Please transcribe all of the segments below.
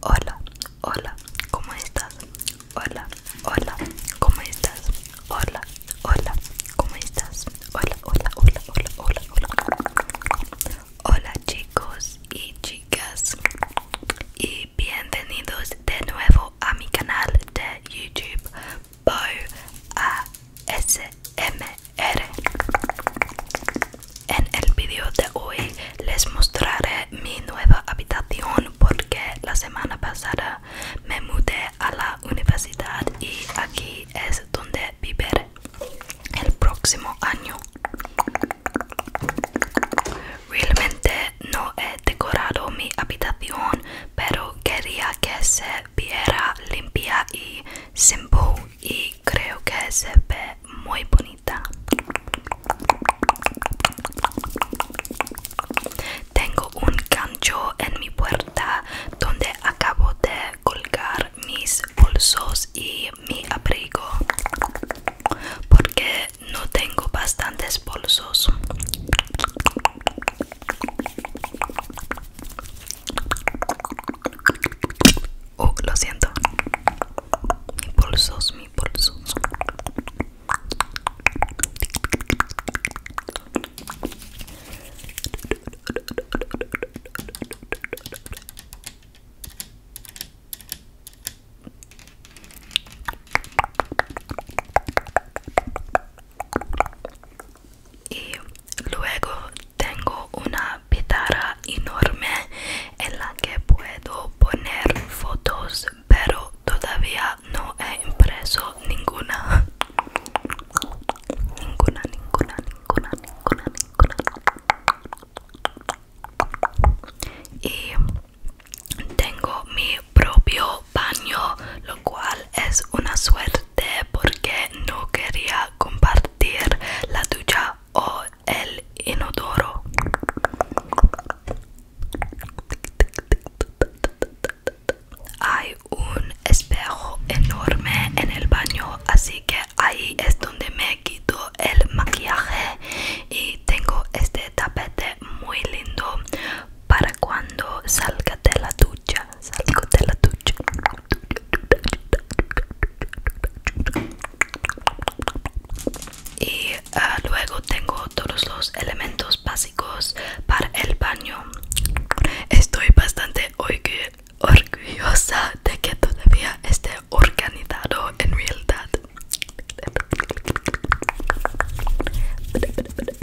Hola, hola, ¿cómo estás? Hola, hola, ¿cómo estás? Hola, hola, ¿cómo estás? Hola, hola, hola, hola, hola, hola. Hola chicos y chicas y bienvenidos de nuevo a mi canal de YouTube M En el vídeo de hoy les mostraré mi nueva habitación porque la semana pasada me mudé a la universidad y aquí es donde viviré el próximo año. Realmente no he decorado mi habitación, pero quería que se viera limpia y simple y creo que se ve muy bonita tengo un gancho en mi puerta donde acabo de colgar mis bolsos y mi abrigo porque no tengo bastantes bolsos Oh, lo siento. Mi bolsos, mi pulso y luego tengo una guitarra enorme en la que puedo poner fotos pero todavía no he impreso ninguna ninguna ninguna ninguna ninguna ninguna y tengo mi propio baño, lo cual es una suerte porque no quería compartir la ducha o el inodoro. Hay un espejo enorme en el baño, así que ahí es donde me quito el maquillaje y tengo este tapete muy lindo para cuando salga de la ducha. Salgo de la ducha. Y ah, luego tengo todos los elementos básicos para el baño. Estoy bastante orgullosa de que todavía esté organizado en realidad.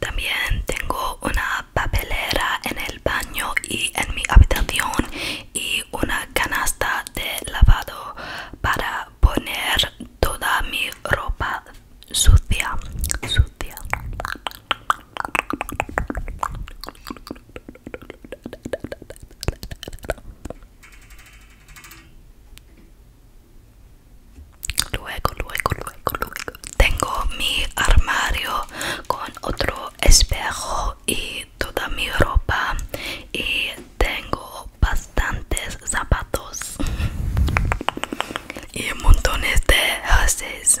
También tengo una papelera en el baño y en mi habitación y una canasta de lavado para poner toda mi ropa sucia. Sucia. Luego, luego, luego, luego. Tengo mi armario con otro espejo y toda mi ropa y tengo bastantes zapatos y montones de jerseys.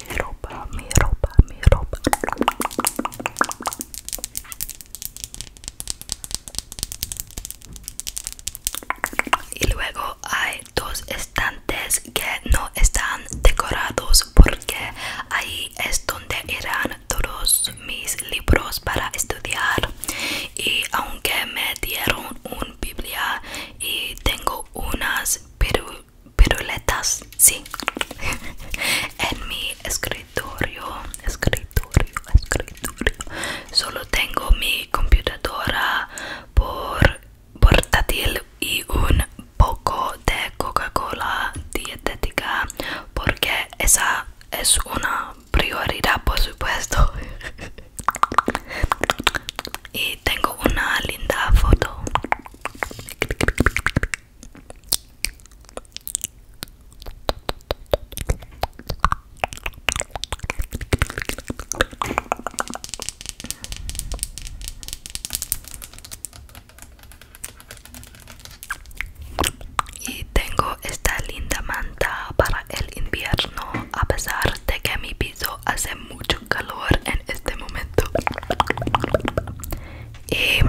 mi ropa, mi ropa, mi ropa. Y luego hay dos estantes que no están decorados porque ahí es donde irán todos mis libros para estudiar. Y aunque me dieron un Biblia y tengo unas piruletas, sí, en mi escritorio, escritorio, escritorio. Solo tengo mi computadora por portátil y un poco de Coca-Cola dietética porque esa es una prioridad por supuesto y tengo una linda foto y tengo esta linda manta para el invierno a pesar de que mi piso hace mucho calor en este momento y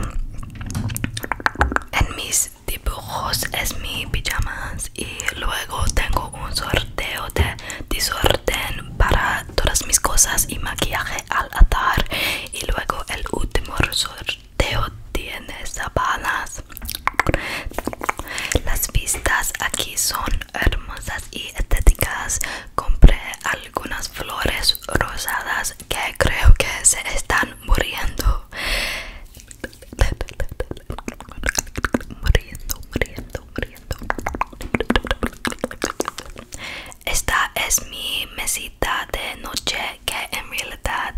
en mis dibujos es mi pijamas y luego tengo un sorteo de disorden para todas mis cosas y maquillaje al atar y luego el último sorteo tiene sabanas las vistas aquí son hermosas y estéticas. Compré algunas flores rosadas que creo que se están muriendo. Esta es mi mesita de noche que en realidad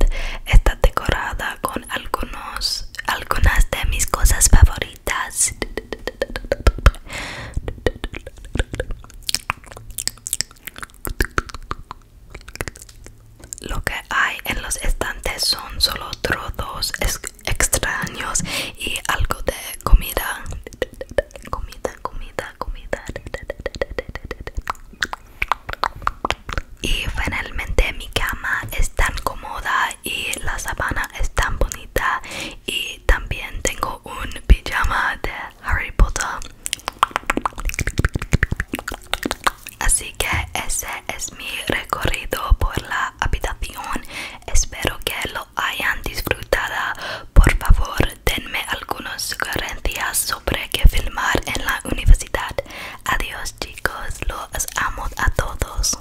está decorada con algunos, algunas de mis cosas favoritas. Lo que hay en los estantes son solo trozos extraños y algo de comida. Comida, comida, comida. Y finalmente mi cama es tan cómoda y la sabana es tan bonita y también tengo un pijama de Harry Potter así que ese es mi recorrido por la habitación espero que lo hayan disfrutado por favor denme algunas sugerencias sobre qué filmar en la universidad adiós chicos los amo a todos